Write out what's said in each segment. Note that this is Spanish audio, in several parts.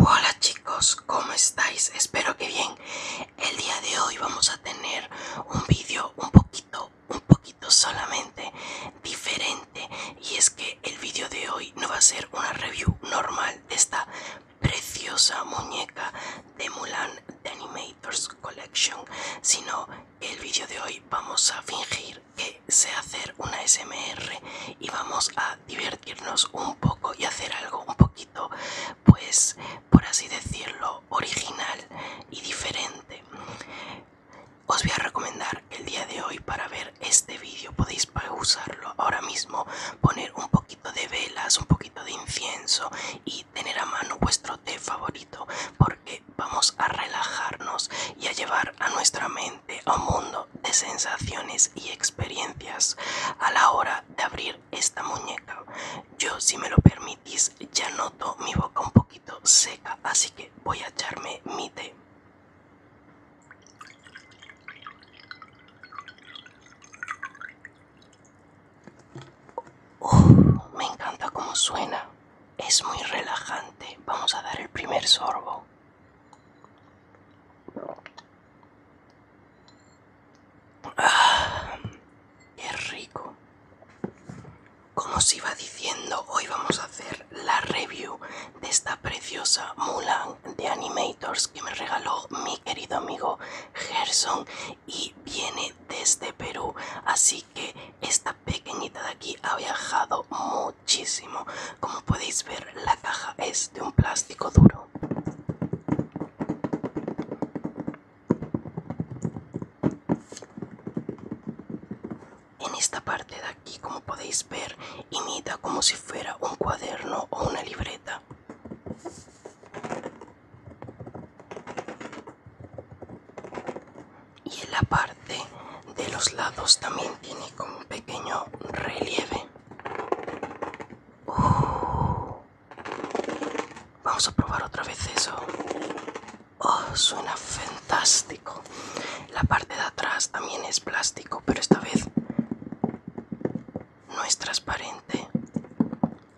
Hola chicos, ¿cómo estáis? Espero que bien. El día de hoy vamos a tener un vídeo un poquito, un poquito solamente diferente. Y es que el vídeo de hoy no va a ser una review normal de esta preciosa muñeca de Mulan de anime Collection, sino el vídeo de hoy vamos a fingir que sé hacer una SMR y vamos a divertirnos un poco y hacer algo un poquito, pues por así decirlo, original y diferente. Os voy a recomendar el día de hoy para ver este vídeo podéis usarlo ahora mismo, poner un poquito de velas, un poquito de incienso y tener a mano vuestro té favorito porque vamos a relajarnos y a llevar a nuestra mente a un mundo de sensaciones y experiencias a la hora de abrir esta muñeca. Yo, si me lo permitís, ya noto mi boca un poquito seca, así que voy a echarme mi té me encanta cómo suena. Es muy relajante. Vamos a dar el primer sorbo. Ah, ¡Qué rico! Como os iba diciendo, hoy vamos a hacer la review de esta preciosa Mulan de Animators que me regaló mi querido amigo Gerson y viene desde Perú. Así que esta pequeñita de aquí ha viajado muchísimo. Como podéis ver, la caja es de un plástico duro. En esta parte de aquí, como podéis ver, imita como si fuera un cuaderno o una libreta y en la parte de los lados también tiene como un pequeño relieve uh. vamos a probar otra vez eso oh, suena fantástico la parte de atrás también es plástico pero esta vez no es transparente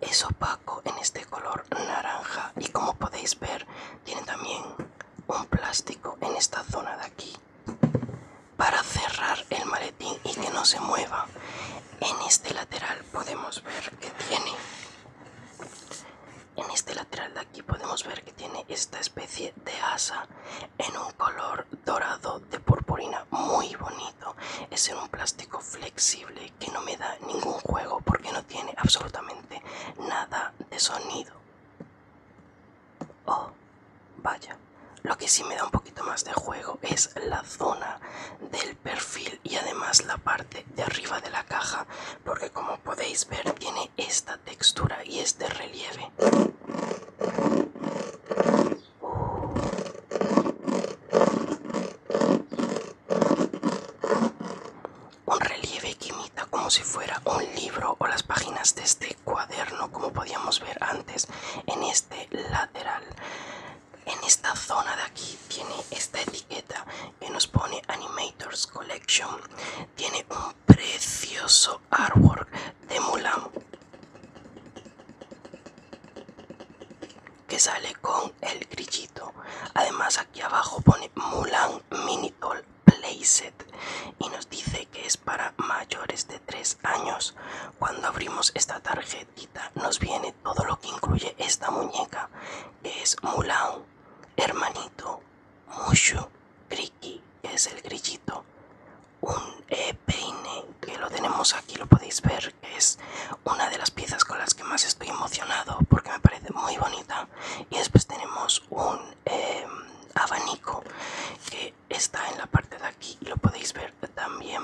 es opaco en este color naranja y como podéis ver tiene también un plástico en esta zona de aquí para cerrar el maletín y que no se mueva en este lateral podemos ver que tiene en este lateral de aquí podemos ver que tiene esta especie de asa en un color dorado de purpurina muy bonito es en un plástico flexible que no me da ningún juego porque no tiene absolutamente nada de sonido. Oh, vaya. Lo que sí me da un poquito más de juego es la zona del perfil y además la parte de arriba de la caja porque como podéis ver tiene esta textura y este relieve. Uh. Un relieve que imita como si fuera un libro o las páginas de este cuaderno, como podíamos ver antes en este lateral. En esta zona de aquí tiene esta etiqueta que nos pone Animators Collection. Tiene un precioso artwork de Mulan que sale con el grillito. Además aquí abajo pone Mulan Mini Doll Playset y nos dice que es para mayores de 3 años. Cuando abrimos esta tarjetita nos viene todo lo que incluye esta muñeca, es Mulan, Hermanito, Mushu, Kriki, que es el grillito, un e peine que lo tenemos aquí, lo podéis ver es una de las piezas con las que más estoy emocionado porque me parece muy bonita y después tenemos un em, abanico que está en la parte de aquí y lo podéis ver también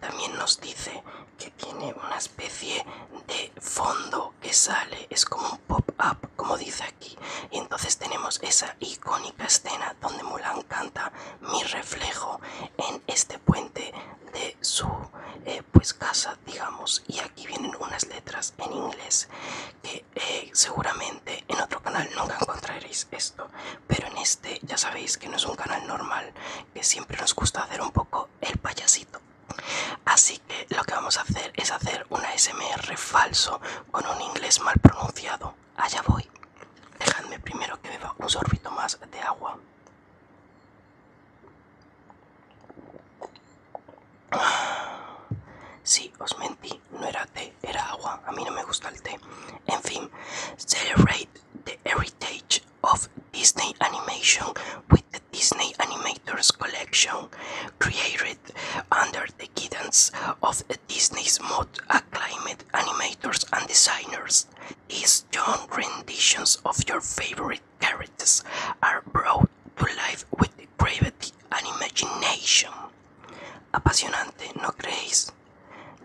también nos dice que tiene una especie de fondo que sale es como un pop-up como dice aquí y entonces tenemos esa icónica escena donde Mulan canta mi reflejo en este puente de su eh, pues casa digamos y aquí vienen unas letras en inglés que eh, seguramente en otro canal nunca encontraréis esto pero en este ya sabéis que no es un canal normal que siempre nos gusta hacer un poco el payasito así que lo que vamos a hacer es hacer una ASMR falso con un inglés mal pronunciado allá voy dejadme primero que beba un sorbito más de agua Sí, os mentí, no era té, era agua. A mí no me gusta el té. En fin, celebrate the heritage of Disney animation with the Disney Animators Collection, created under the guidance of Disney's most acclaimed animators and designers. is John renditions of your favorite characters are brought to life with gravity and imagination. Apasionante, ¿no creéis?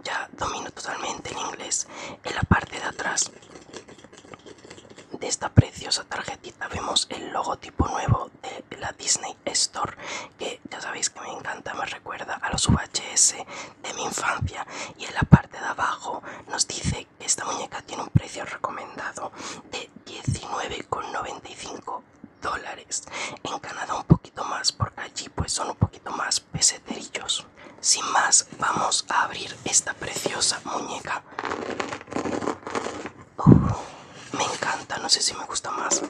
Ya domino totalmente el inglés. En la parte de atrás de esta preciosa tarjetita vemos el logotipo nuevo de la Disney Store, que ya sabéis que me encanta, me recuerda a los VHS de mi infancia y en la parte de abajo nos dice que esta muñeca tiene un precio recomendado de 19,95 dólares en Canadá un poquito más porque allí pues son un poquito más peseterillos sin más vamos a abrir esta preciosa muñeca uh, me encanta no sé si me gusta más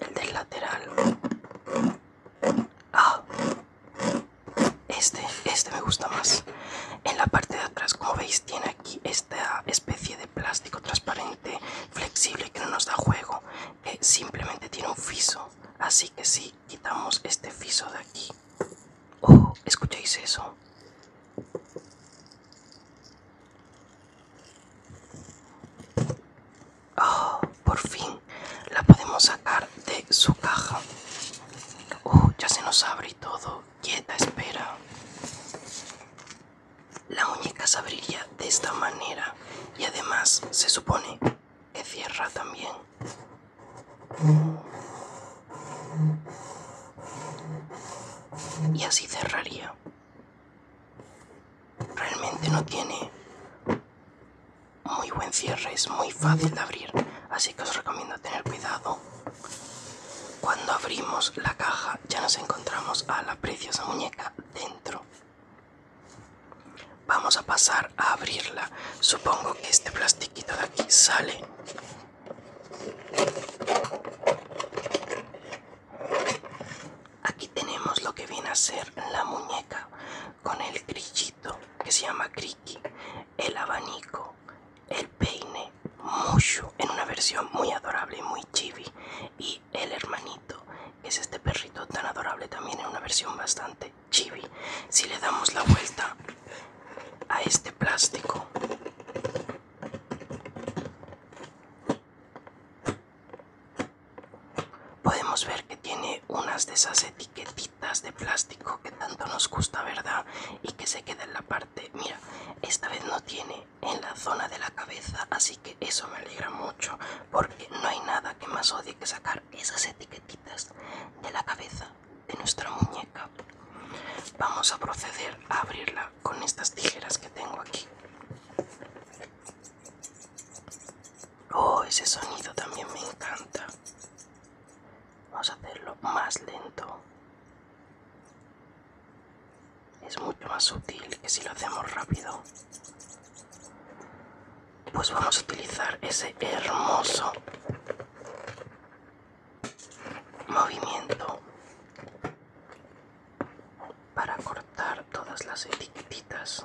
el del lateral Ah, este, este me gusta más. En la parte de atrás, como veis, tiene aquí esta especie de plástico transparente, flexible, que no nos da juego. Eh, simplemente tiene un fiso. Así que si quitamos este fiso de aquí. Oh, ¿escucháis eso? Oh, por fin la podemos sacar de su caja. Oh, ya se nos abre y todo. Quieta, espera. La muñeca se abriría de esta manera y además se supone que cierra también. Y así cerraría. Realmente no tiene muy buen cierre, es muy fácil de abrir, así que os recomiendo tener cuidado. Cuando abrimos la caja ya nos encontramos a la preciosa muñeca dentro. Vamos a pasar a abrirla. Supongo que este plastiquito de aquí sale. Aquí tenemos lo que viene a ser la muñeca con el grillito que se llama Criqui, el abanico, el peine, Mushu en una versión muy adorable y muy chibi y el hermanito, que es este perrito tan adorable también en una versión bastante chibi. Si le damos la vuelta a este plástico podemos ver que tiene unas de esas etiquetitas de plástico que tanto nos gusta verdad y que se queda en la parte mira esta vez no tiene en la zona de la cabeza así que eso me alegra mucho porque no hay nada que más odie que sacar esas etiquetitas de la cabeza de nuestra muñeca vamos a proceder a abrirla con estas tijeras que tengo aquí Oh, ese sonido también me encanta. Vamos a hacerlo más lento. Es mucho más útil que si lo hacemos rápido. Pues vamos a utilizar ese hermoso movimiento para cortar todas las etiquetitas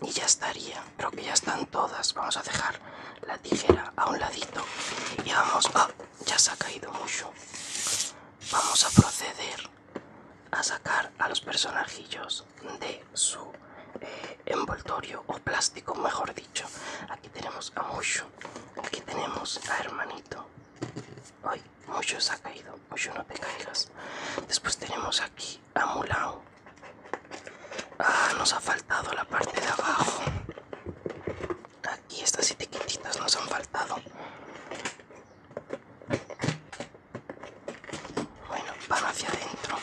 y ya estaría creo que ya están todas vamos a dejar la tijera a un ladito y vamos ah, ya se ha caído mucho vamos a proceder a sacar a los personajillos de su eh, envoltorio o plástico mejor dicho aquí tenemos a mucho aquí tenemos a hermanito ay Mushu se ha caído Mushu no te caigas después tenemos aquí Ah, nos ha faltado la parte de abajo. Aquí estas etiquetitas nos han faltado. Bueno, van hacia adentro.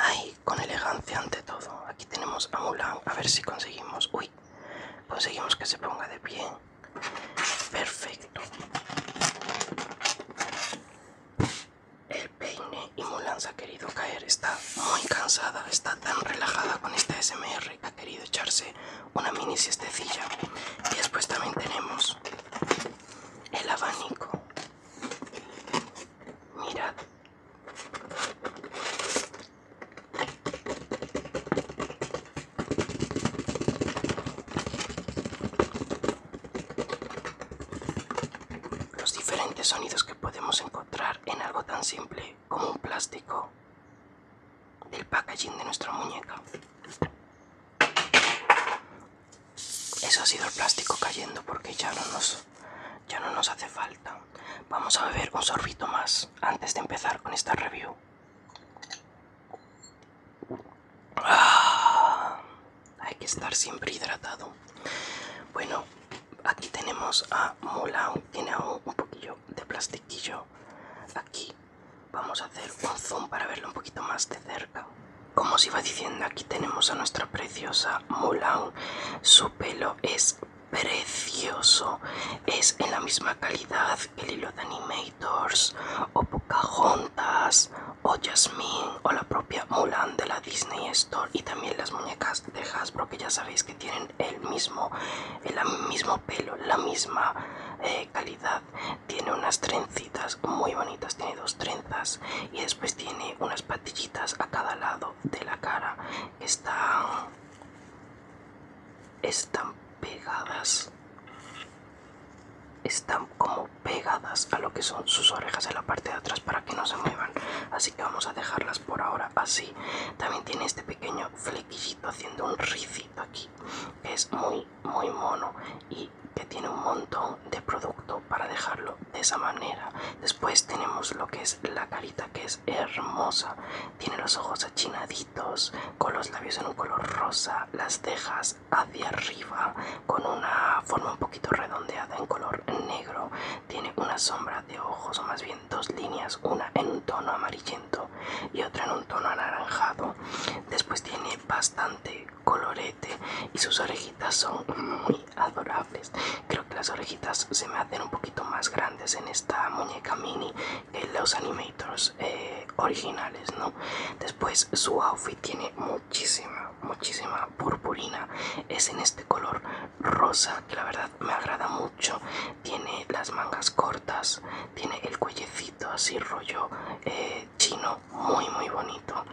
Ay, con elegancia ante todo. Aquí tenemos a Mulan. A ver si conseguimos. Uy, conseguimos que se ponga de pie perfecto el peine y se ha querido caer está muy cansada está tan relajada con este smr que ha querido echarse una mini siestecilla y después también tenemos el abanico mirad los diferentes sonidos que podemos encontrar en algo tan simple como un plástico del packaging de nuestra muñeca. Eso ha sido el plástico cayendo porque ya no nos, ya no nos hace falta. Vamos a beber un sorbito más antes de empezar con esta review. Ah, hay que estar siempre hidratado. Bueno, aquí tenemos a Mulan Tiene un poquillo de plastiquillo. Aquí vamos a hacer un zoom para verlo un poquito más de cerca. Como os iba diciendo, aquí tenemos a nuestra preciosa Mulan. Su pelo es precioso, es en la misma calidad hilo de Animators, o Pocahontas, o Jasmine, o la propia Mulan de la Disney Store, y también las muñecas de Hasbro, que ya sabéis que tienen el mismo, el mismo pelo, la misma eh, calidad. Tiene unas trencitas muy bonitas, tiene dos trenzas, y después tiene unas patillitas a cada lado de la cara. Están, están pegadas están como pegadas a lo que son sus orejas en la parte de atrás para que no se muevan así que vamos a dejarlas por ahora así también tiene este pequeño flequillito haciendo un ricito aquí que es muy muy mono y que tiene un montón de producto para dejarlo de esa manera después tenemos lo que es la carita que es hermosa tiene los ojos achinaditos con los labios en un color rosa, las cejas hacia arriba con una forma un poquito redondeada en color negro, tiene una sombra de ojos o más bien dos líneas, una en un tono amarillento y otra en un tono anaranjado. Después tiene bastante colorete y sus orejitas son muy adorables. Creo que las orejitas se me hacen un poquito más grandes en esta muñeca mini los animators eh, originales, ¿no? Después su outfit tiene muchísima, muchísima purpurina. Es en este color rosa que la verdad me agrada mucho. Tiene las mangas cortas, tiene el cuellecito así rollo eh, chino, muy, muy bonito.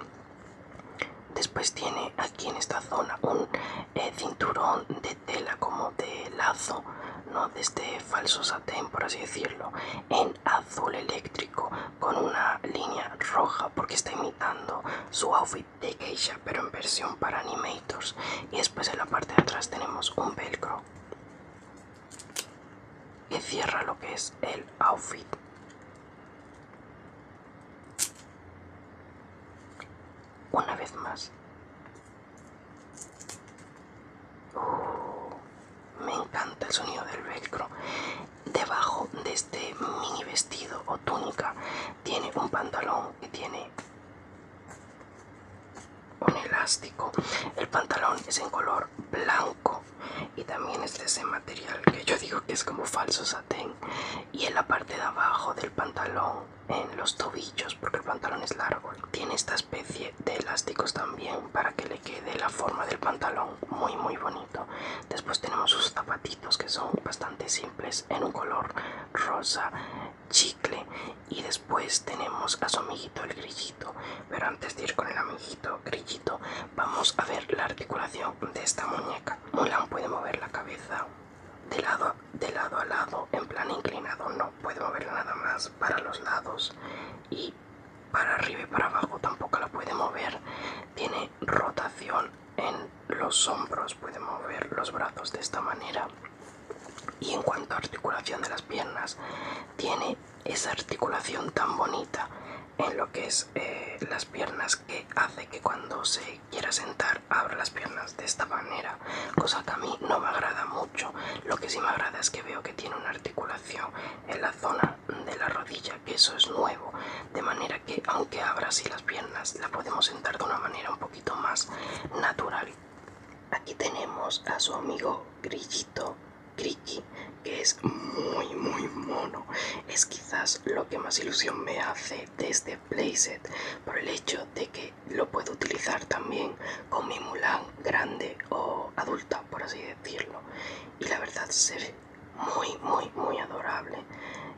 Después tiene aquí en esta zona un eh, cinturón de tela como de lazo, no de este falso por así decirlo, en azul eléctrico con una línea roja porque está imitando su outfit de Keisha, pero en versión para animators y después en la parte de atrás tenemos un velcro que cierra lo que es el outfit una vez más me encanta el sonido del velcro. Debajo de este mini vestido o túnica tiene un pantalón que tiene un elástico. El pantalón es en color blanco y también es de ese material que yo digo que es como falso satén. Y en la parte de abajo del pantalón, en los tobillos, porque el pantalón es largo, tiene esta especie de, elásticos también para que le quede la forma del pantalón muy muy bonito después tenemos sus zapatitos que son bastante simples en un color rosa chicle y después tenemos a su amiguito el grillito pero antes de ir con el amiguito grillito vamos a ver la articulación de esta muñeca Mulan puede mover la cabeza de lado, de lado a lado en plan inclinado no puede moverla nada más para los lados y para arriba y para abajo tampoco la puede mover tiene rotación en los hombros puede mover los brazos de esta manera y en cuanto a articulación de las piernas tiene esa articulación tan bonita en lo que es eh, las piernas que hace que cuando se quiera sentar abra las piernas de esta manera cosa que a mí no me agrada mucho. Lo que sí me agrada es que veo que tiene una articulación en la zona de la rodilla, que eso es nuevo, de manera que aunque abra así las piernas, la podemos sentar de una manera un poquito más natural. Aquí tenemos a su amigo Grillito Cricky, que es muy muy mono. Es quizás lo que más ilusión me hace de este playset por el hecho de que lo puedo utilizar también con mi Mulan grande o adulta, por así decirlo. Y la verdad se ve muy, muy, muy adorable.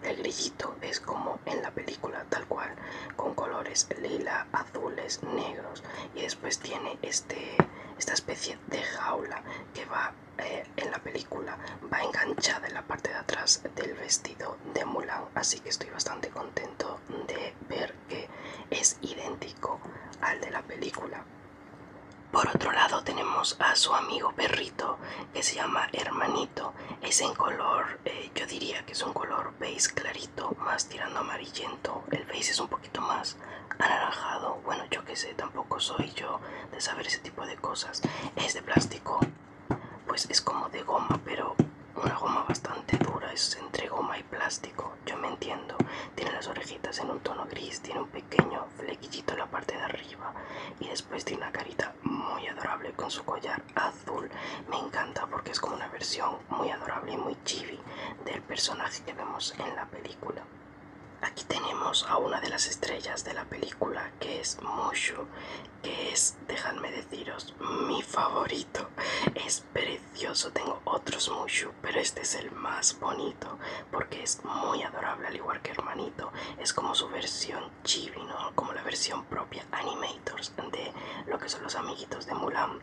El grillito es como en la película, tal cual, con colores lila, azules, negros. Y después tiene este, esta especie de jaula que va eh, en la película, va enganchada en la parte de atrás del vestido de Mulan. Así que estoy bastante contento de ver que es idéntico al de la película. Por otro lado tenemos a su amigo perrito que se llama Hermanito. Es en color, eh, yo diría que es un color beige clarito, más tirando amarillento. El beige es un poquito más anaranjado. Bueno, yo que sé, tampoco soy yo de saber ese tipo de cosas. Es de plástico, pues es como de goma, pero una goma bastante dura, es entre goma y plástico, yo me entiendo. Tiene las orejitas en un tono gris, tiene un pequeño flequillito en la parte de arriba y después tiene una carita muy adorable con su collar azul. Me encanta porque es como una versión muy adorable y muy chibi del personaje que vemos en la película. Aquí tenemos a una de las estrellas de la película que es Mushu, que es, dejadme deciros, mi favorito. Es precioso. Tengo otros Mushu, pero este es el más bonito porque es muy adorable, al igual que Hermanito. Es como su versión chibi, ¿no? Como la versión propia Animators de lo que son los amiguitos de Mulan.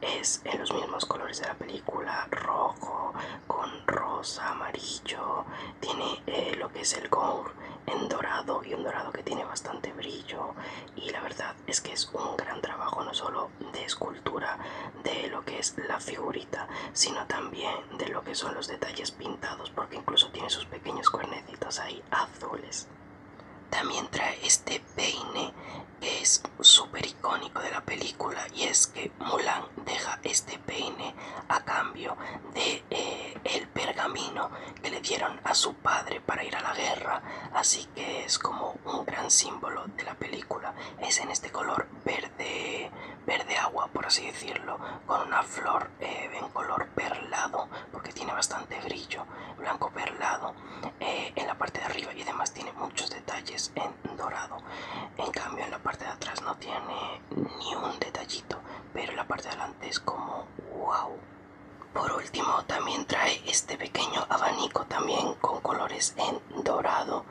Es en los mismos colores de la película, rojo, con rosa, amarillo. Tiene eh, lo que es el gong en dorado y un dorado que tiene bastante brillo. Y la verdad es que es un gran trabajo no solo de escultura de lo que es la figurita, sino también de lo que son los detalles pintados, porque incluso tiene sus pequeños cuernecitos ahí azules. También trae este peine que es súper icónico de la película y es que Mulan deja este peine a cambio de eh, el pergamino que le dieron a su padre para ir a la guerra, así que es como un gran símbolo de la película. Es en este color verde, verde agua, por así decirlo, con una flor eh, en color perlado, porque tiene bastante brillo, blanco perlado eh, en la parte de arriba y además tiene muchos detalles en dorado. En cambio, en la parte de atrás no tiene ni un detallito, pero la parte de adelante es como wow. Por último también trae este pequeño abanico también con colores en dorado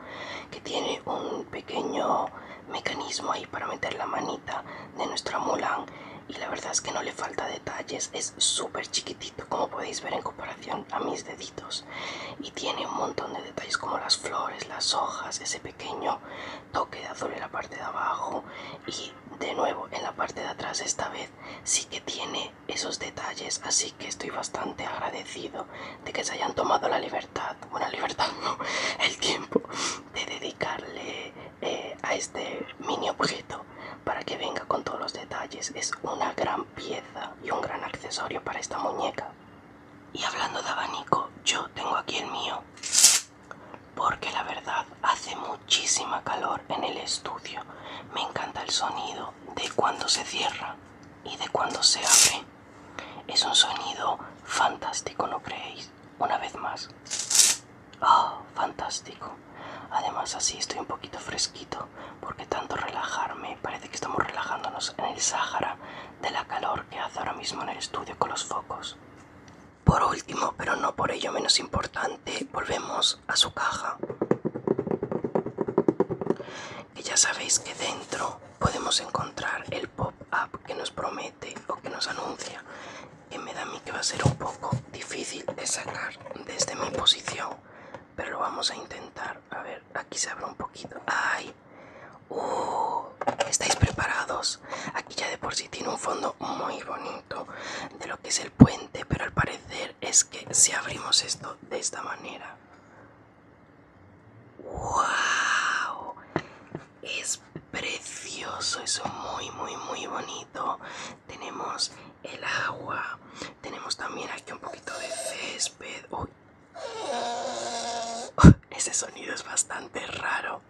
que tiene un pequeño mecanismo ahí para meter la manita de nuestra Mulan y la verdad es que no le falta detalles, es súper chiquitito como podéis ver en comparación a mis deditos y tiene un montón de detalles como las flores, las hojas, ese pequeño toque de azul en la parte de abajo y de nuevo en la parte de atrás esta vez sí que tiene esos detalles, así que estoy bastante agradecido de que se hayan tomado la libertad, bueno, libertad no, el tiempo de dedicarle eh, a este mini objeto para que venga con todos los detalles. Es una gran pieza y un gran accesorio para esta muñeca. Y hablando de abanico, yo tengo aquí el mío, porque la verdad hace mucho muchísima calor en el estudio. Me encanta el sonido de cuando se cierra y de cuando se abre. Es un sonido fantástico, ¿no creéis? Una vez más. ¡Oh, fantástico! Además así estoy un poquito fresquito porque tanto relajarme, parece que estamos relajándonos en el Sáhara de la calor que hace ahora mismo en el estudio con los focos. Por último, pero no por ello menos importante, volvemos a su caja. Y ya sabéis que dentro podemos encontrar el pop-up que nos promete o que nos anuncia. Que me da a mí que va a ser un poco difícil de sacar desde mi posición. Pero lo vamos a intentar. A ver, aquí se abre un poquito. ¡Ay! ¡Uh! ¿Estáis preparados? Aquí ya de por sí tiene un fondo muy bonito de lo que es el puente pero al parecer es que si abrimos esto de esta manera wow es precioso Es muy muy muy bonito tenemos el agua tenemos también aquí un poquito de césped Uy. Oh, ese sonido es bastante raro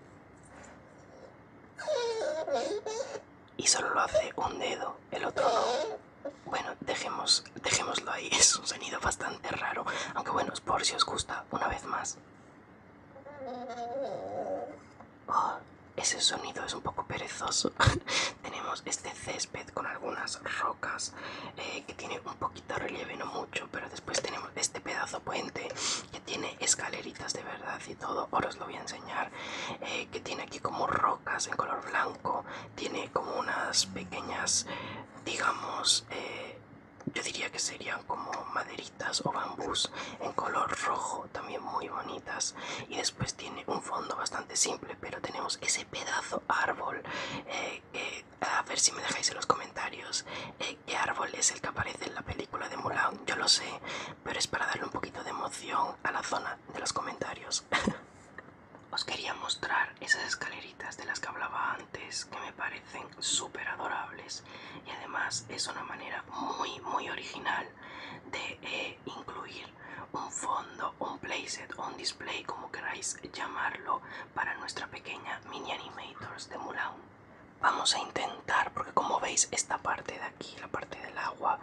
y solo lo hace un dedo, el otro Bueno, dejemos, dejémoslo ahí, es un sonido bastante raro, aunque bueno, es por si os gusta, una vez más. Oh, ese sonido es un poco perezoso. Tenemos este césped con algunas rocas eh, que tiene un poquito de relieve, no mucho, pero después tenemos este pedazo puente que tiene escaleritas de verdad y todo. Ahora os lo voy a enseñar. Eh, que tiene aquí como rocas en color blanco tiene como unas pequeñas digamos eh, yo diría que serían como maderitas o bambús en color rojo también muy bonitas y después tiene un fondo bastante simple pero tenemos ese pedazo árbol eh, a ver si me dejáis en los comentarios eh, qué árbol es el que aparece en la película de Mulan yo lo sé pero es para darle un poquito de emoción a la zona de los comentarios. Os quería mostrar esas escaleritas de las que hablaba antes que me parecen súper adorables y además es una manera muy muy original de eh, incluir un fondo, un playset o un display como queráis llamarlo para nuestra pequeña mini animators de Mulan. Vamos a intentar porque como veis esta parte de aquí la parte del agua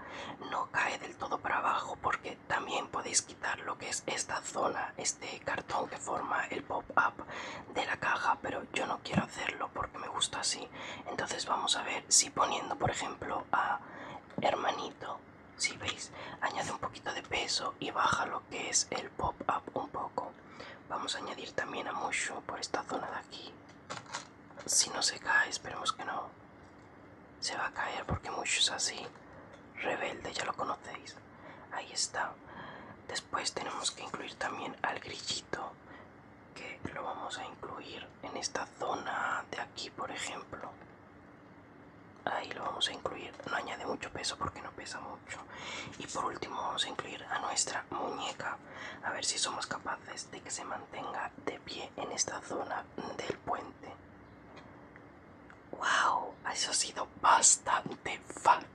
no cae del todo para abajo porque también podéis quitar lo que es esta zona este cartón que forma el pop up de la caja pero yo no quiero hacerlo porque me gusta así entonces vamos a ver si poniendo por ejemplo a hermanito si veis añade un poquito de peso y baja lo que es el pop up un poco vamos a añadir también a Mushu por esta zona de aquí si no se cae, esperemos que no. Se va a caer porque muchos así. Rebelde, ya lo conocéis. Ahí está. Después tenemos que incluir también al grillito. Que lo vamos a incluir en esta zona de aquí, por ejemplo. Ahí lo vamos a incluir. No añade mucho peso porque no pesa mucho. Y por último vamos a incluir a nuestra muñeca a ver si somos capaces de que se mantenga de pie en esta zona del puente. ¡Wow! Eso ha sido bastante fácil.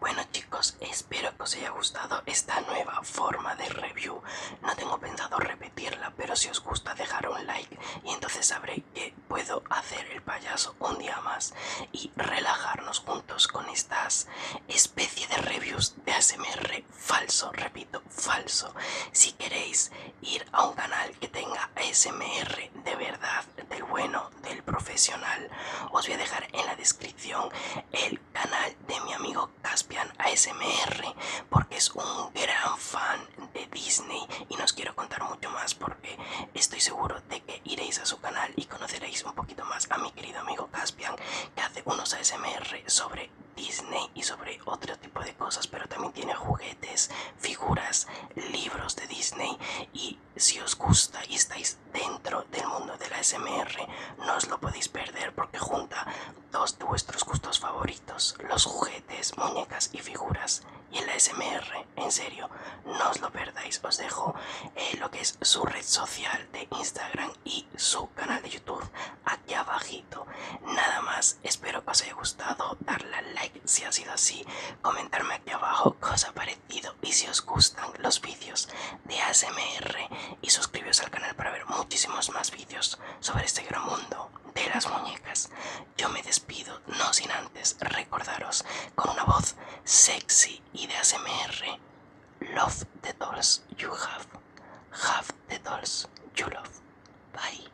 Bueno chicos, espero que os haya gustado esta nueva forma de review. No tengo pensado repetirla, pero si os gusta dejar un like y entonces sabré que puedo hacer el payaso un día más y relajarnos juntos con estas especie de reviews de ASMR falso, repito, falso. Si queréis ir a un canal que tenga ASMR de verdad, del bueno, del profesional, os voy a dejar en la descripción el canal de mi amigo Caspian ASMR, porque es un gran fan de Disney y no os quiero contar mucho más porque estoy seguro de que iréis a su canal y conoceréis un poquito más a mi querido amigo Caspian que hace unos ASMR sobre Disney y sobre otro tipo de cosas, pero también tiene juguetes, figuras, libros de Disney y si os gusta y estáis dentro del mundo de la SMR, no os lo podéis perder porque junta dos de vuestros gustos favoritos, los juguetes, muñecas y figuras y la ASMR en serio, no os lo perdáis, os dejo eh, lo que es su red social de Instagram y su canal de YouTube aquí abajito. Nada más, espero que os haya gustado, darle like si ha sido así, comentarme aquí abajo qué os ha parecido y si os gustan los vídeos de ASMR y suscribiros al canal para ver muchísimos más vídeos sobre este gran mundo de las muñecas. Yo me despido, no sin antes recordaros con una voz sexy y de ASMR. Love the dolls you have. Have the dolls you love. Bye.